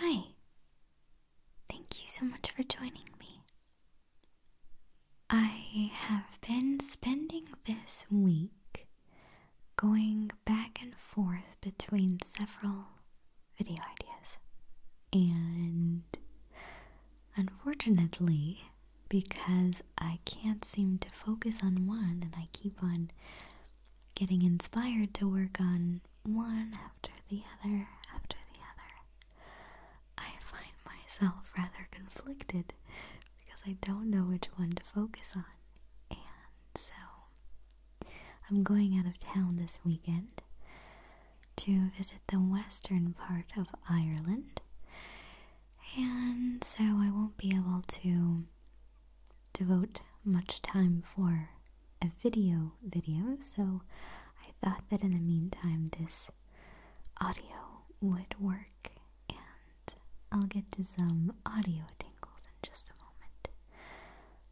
Hi. Thank you so much for joining me. I have been spending this week going back and forth between several video ideas, and Unfortunately, because I can't seem to focus on one and I keep on getting inspired to work on one after the other after the other, I find myself rather conflicted because I don't know which one to focus on. And so I'm going out of town this weekend to visit the western part of Ireland, and so I won't be able to devote much time for a video video, so I thought that in the meantime this audio would work and I'll get to some audio tingles in just a moment.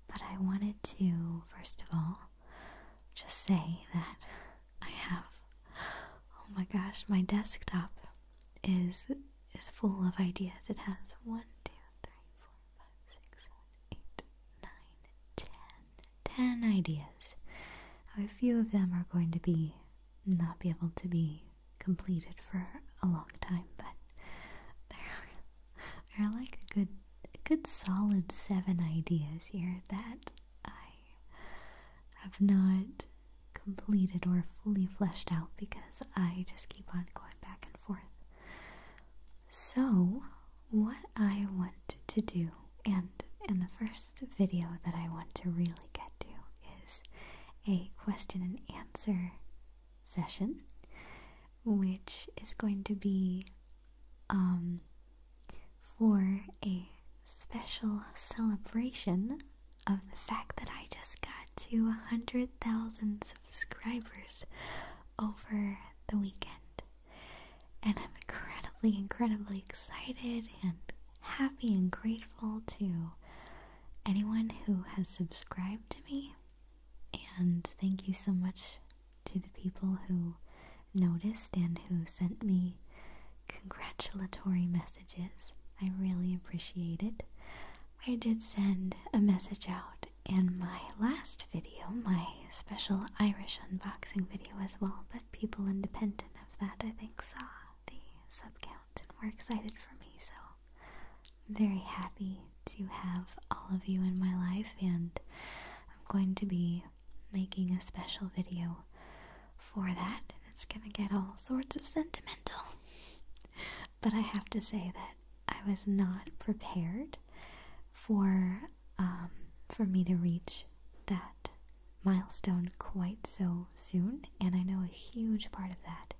But I wanted to, first of all, just say that I have. Oh my gosh, my desktop is is full of ideas. It has one, two, three, four, five, six, seven, eight, nine, ten, ten ideas. A few of them are going to be not be able to be completed for a long time, but there are, there are like a good a good solid seven ideas here that I have not completed or fully fleshed out because I just keep on going back and forth. So, what I want to do, and in the first video that I want to really get to, is a question and answer session, which is going to be um, for a special celebration of the fact that I just got to 100,000 subscribers over the weekend. And I'm incredibly, incredibly excited and happy and grateful to anyone who has subscribed to me. And thank you so much to the people who noticed and who sent me congratulatory messages. I really appreciate it. I did send a message out in my last video, my special Irish unboxing video as well, but people independent of that, I think, saw the sub count and were excited for me, so I'm very happy to have all of you in my life, and I'm going to be making a special video for that. It's gonna get all sorts of sentimental. but I have to say that I was not prepared for um, for me to reach that milestone quite so soon, and I know a huge part of that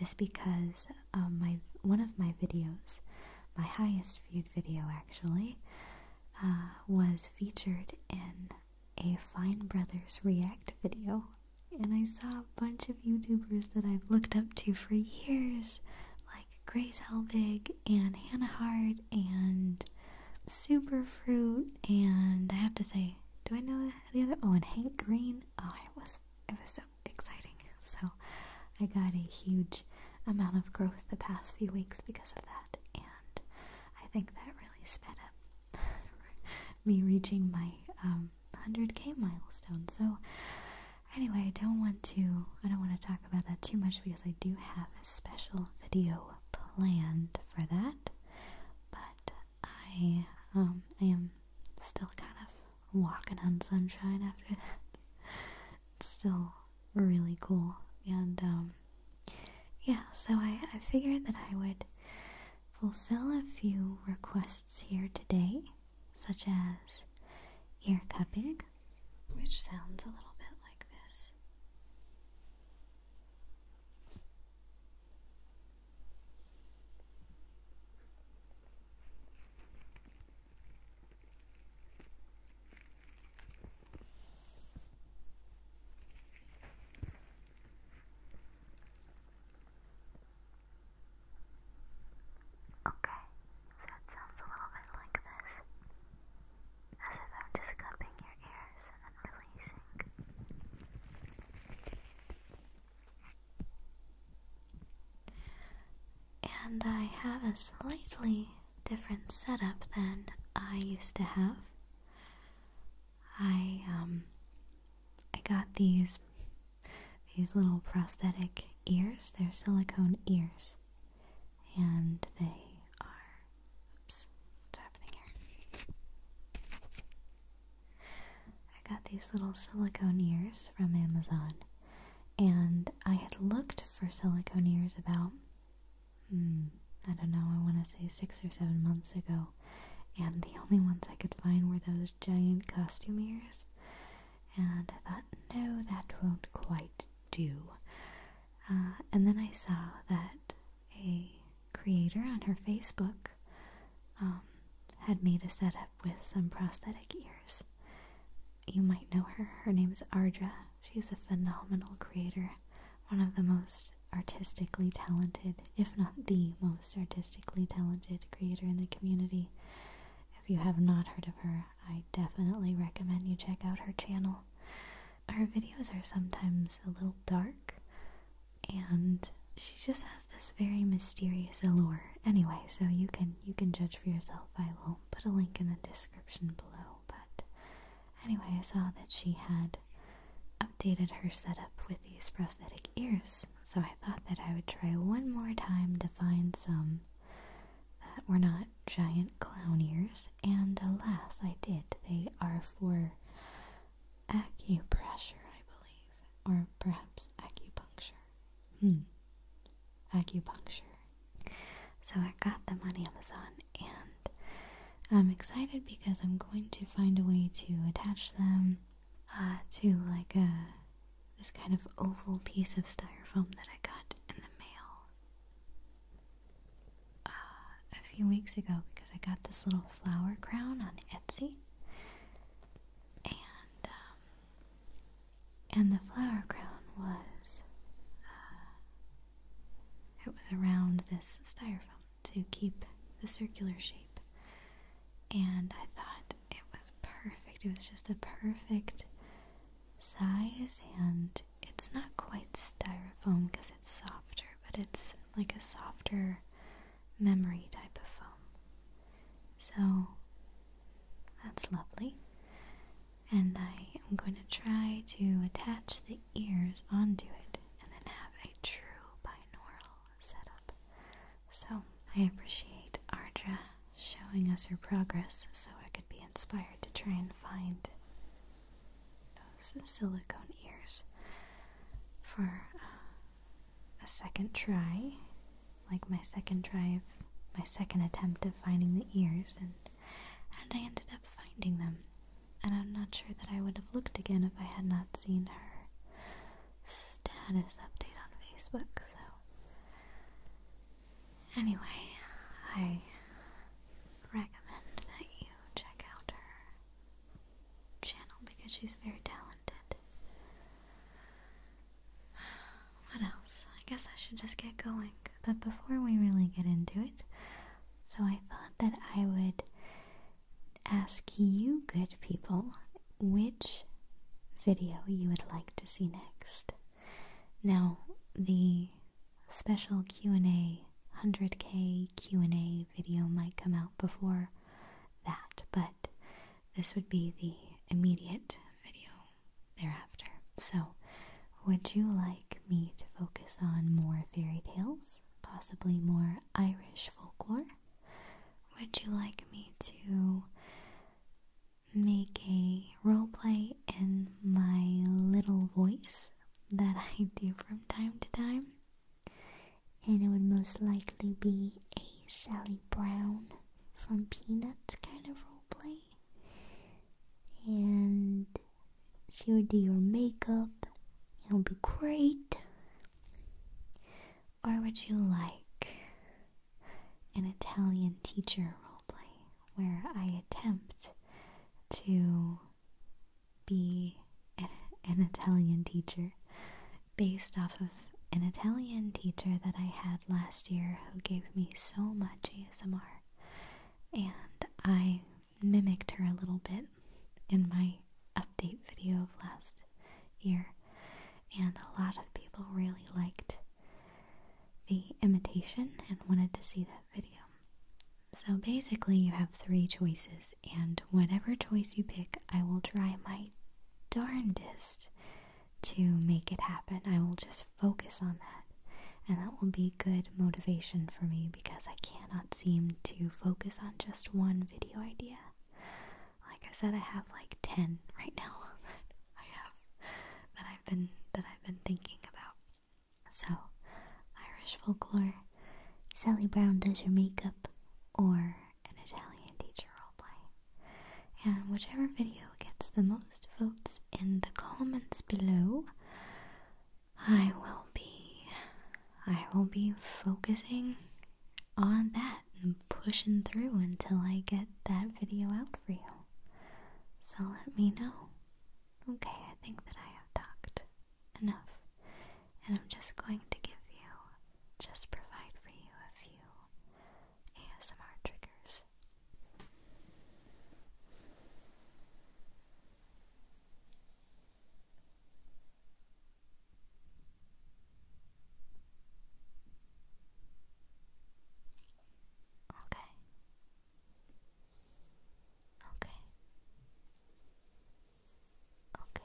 is because um, my one of my videos, my highest viewed video actually, uh, was featured in a Fine Brothers React video. And I saw a bunch of YouTubers that I've looked up to for years, like Grace Helbig and Hannah Hart and Superfruit. And I have to say, do I know the other? Oh, and Hank Green. Oh, it was it was so exciting. So I got a huge amount of growth the past few weeks because of that. And I think that really sped up me reaching my 100k um, milestone. So anyway, I don't want to I don't want to talk about that too much because I do have a special video planned for that. But I um, am still kind of walking on sunshine after that still really cool. And um, yeah, so I, I figured that I would fulfill a few requests here today, such as ear cupping, which sounds a little bit like this. Okay, so sounds a little bit like this. As if just cupping your ears and then releasing. And I have a slightly different setup than I used to have. I um I got these these little prosthetic ears. They're silicone ears. And they are oops, what's happening here? I got these little silicone ears from Amazon and I had looked for silicone ears about Hmm, I don't know, I want to say six or seven months ago, and the only ones I could find were those giant costume ears. And I thought, no, that won't quite do. Uh, and then I saw that a creator on her Facebook um, had made a setup with some prosthetic ears. You might know her. Her name is Ardra, She's a phenomenal creator, one of the most artistically talented, if not the most artistically talented creator in the community. If you have not heard of her, I definitely recommend you check out her channel. Her videos are sometimes a little dark, and she just has this very mysterious allure. Anyway, so you can you can judge for yourself. I will put a link in the description below, but Anyway, I saw that she had updated her setup with these prosthetic ears, so I thought that I would try one more time to find some that were not giant clown ears, and alas, I did. They are for acupressure, I believe, or perhaps acupuncture. Hmm. Acupuncture. So I got them on Amazon and I'm excited because I'm going to find a way to attach them uh, to like a this kind of oval piece of styrofoam that I got in the mail uh, a few weeks ago because I got this little flower crown on Etsy and um, and the flower crown was uh, it was around this styrofoam to keep the circular shape. And I thought it was perfect. It was just the perfect size, and it's not quite styrofoam because it's softer, but it's like a softer memory type of foam. So that's lovely and I am going to try to attach the ears onto it and then have a true binaural setup. So I appreciate Ardra showing us her progress so I could be inspired to try and find those silicone ears for uh, a second try, like my second try of my second attempt of finding the ears and and I ended up finding them, and I'm not sure that I would have looked again if I had not seen her status update on Facebook, so. Anyway, I recommend that you check out her channel because she's very talented. What else? I guess I should just get going but before we really get into it, so I thought that I would ask you, good people, which video you would like to see next. Now, the special Q&A 100k Q&A video might come out before that, but this would be the immediate video thereafter. So, would you like me to focus on more fairy tales, possibly more Irish folklore? Would you like me to make a role play in my little voice that I do from time to time? And it would most likely be a Sally Brown from Peanuts kind of role play and she will do your makeup. It'll be great. Or would you like an Italian teacher roleplay where I attempt to be an Italian teacher based off of an Italian teacher that I had last year who gave me so much ASMR and I mimicked her a little bit in my update video of last year, and a lot of people really liked the imitation and wanted to see that video. So basically, you have three choices, and whatever choice you pick, I will try my darndest to make it happen. I will just focus on that. And that will be good motivation for me because I cannot seem to focus on just one video idea. Like I said, I have like 10 right now that I have that I've been that I've been thinking about. So, Irish folklore, Sally Brown does your makeup, or an Italian teacher roleplay. And whichever video gets the most votes in the comments below. I will be I will be focusing on that and pushing through until I get that video out for you. So let me know. Okay, I think that I have talked enough. And I'm just going to give you, just provide for you a few ASMR triggers Okay. Okay. Okay. Okay.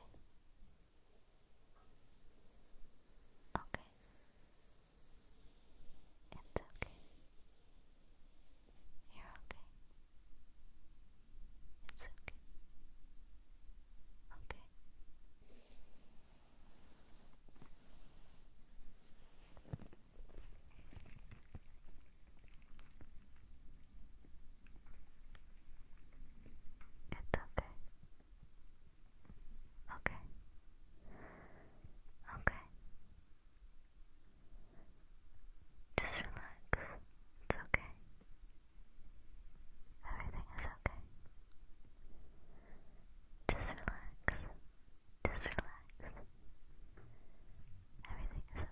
It's okay. You're okay. It's okay. Okay. It's okay. Okay. Okay. Just relax. It's okay. Everything is okay. Just relax. Just relax. Everything is okay.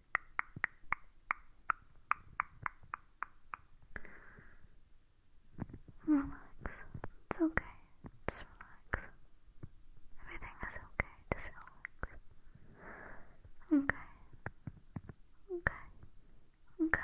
Relax. It's okay. Just relax. Everything is okay. Just relax. Okay. Okay. Okay.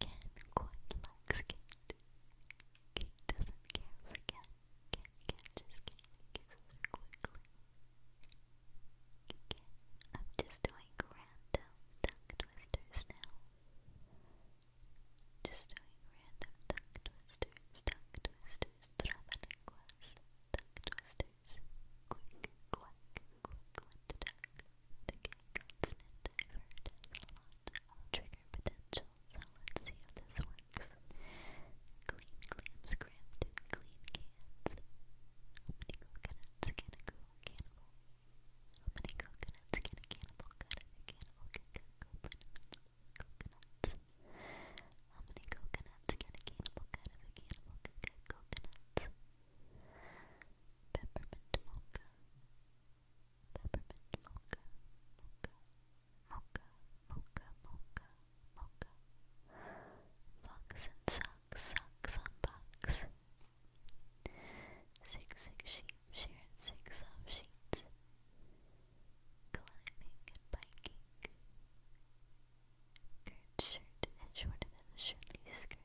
Ken quite likes Kate. Kate doesn't care for Ken. Ken catches Kate and quickly. I'm just doing random tongue twisters now. Just doing random tongue twisters, tongue twisters, trabalenguas, tongue twisters. Quick, quack, quick the duck, the king I've trigger potential, see how this works. Clean clams crammed clean cans. How many coconuts can a cannibal? How many coconuts can a cannibal cut? A cannibal coconuts. coconuts. How many coconuts can a cannibal cut? a cannibal coconuts. Peppermint mocha peppermint mocha, mocha, mocha, mocha, mocha, mocha. Fox and socks, socks on box. Six, six sheep, shearing six off sheets. Climbing and biking. Girt shirt is shorter than a shirtless skirt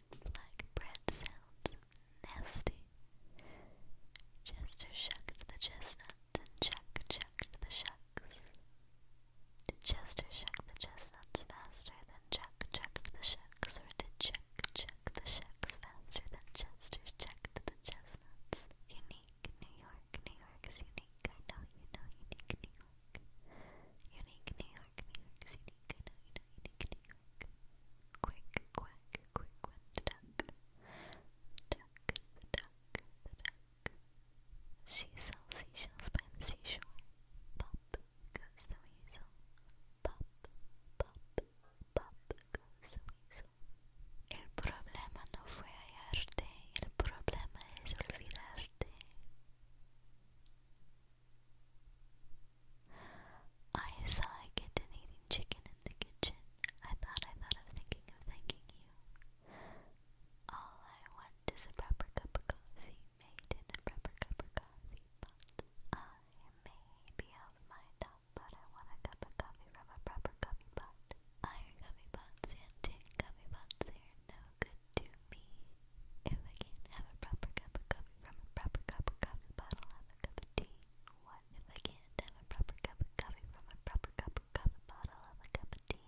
like bread sounds nasty. Chester shucked the chestnuts and Chuck chucked the shucks. Did Chester shuck the chestnuts faster than Chuck chucked the shucks, or did Chuck chuck the shucks faster than Chester chucked the chestnuts? Unique New York, New York is unique. I you unique New York. Unique New York, New York is unique. Quick, quack, quick went the duck. Duck, the duck, the duck. She sells seashells by the seashore. Pop Pop, pop, pop El problema no fue hallarte, el problema es olvidarte. I saw a kitten eating chicken in the kitchen. I thought I thought of thinking of thanking you. All I want is a proper cup of coffee made in a proper cup of coffee pot. I may be out of my top, but I want a cup of coffee from a proper coffee pot. Iron coffee pots and tin coffee pots, they are no good to me. If I can't have a proper cup of coffee from a proper cup of coffee bottle, have a cup of tea. What if I can't have a proper cup of coffee from a proper cup of coffee bottle, have a cup of tea?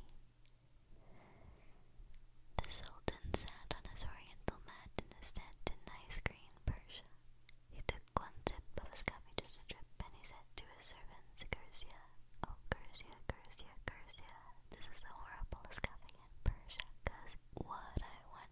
The Sultan sat on his oriental mat in his tent in nice green Persia. He took one sip of his coffee just a drip and he said to his servants, Cursia, oh Cursia, Cursia, Cursia, this is the horriblest coffee in Persia, cause what I want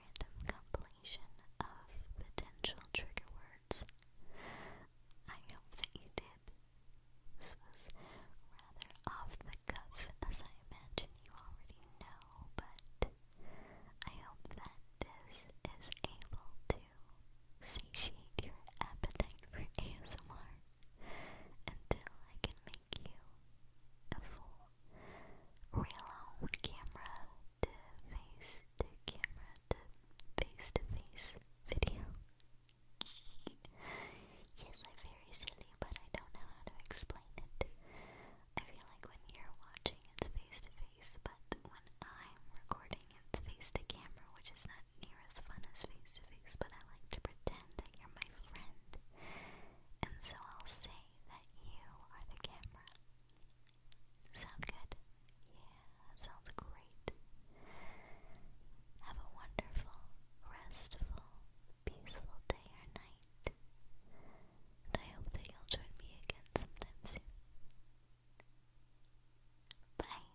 random compilation of potential trigger words. I hope that you did. This was rather off the cuff, as I imagine you already know, but I hope that this is able to satiate your appetite for ASMR until I can make you a full real on camera to face to camera to face to face video. yes, I'm very silly, but I don't know how to explain it. I feel like when you're watching, it's face to face, but when I'm recording, it's face to camera, which is not near as fun as face to face, but I like to pretend that you're my friend. And so I'll say that you are the camera. Sound good? Yeah, sounds great. Have a wonderful, restful, peaceful day or night. And I hope that you'll join me again sometime soon. Bye.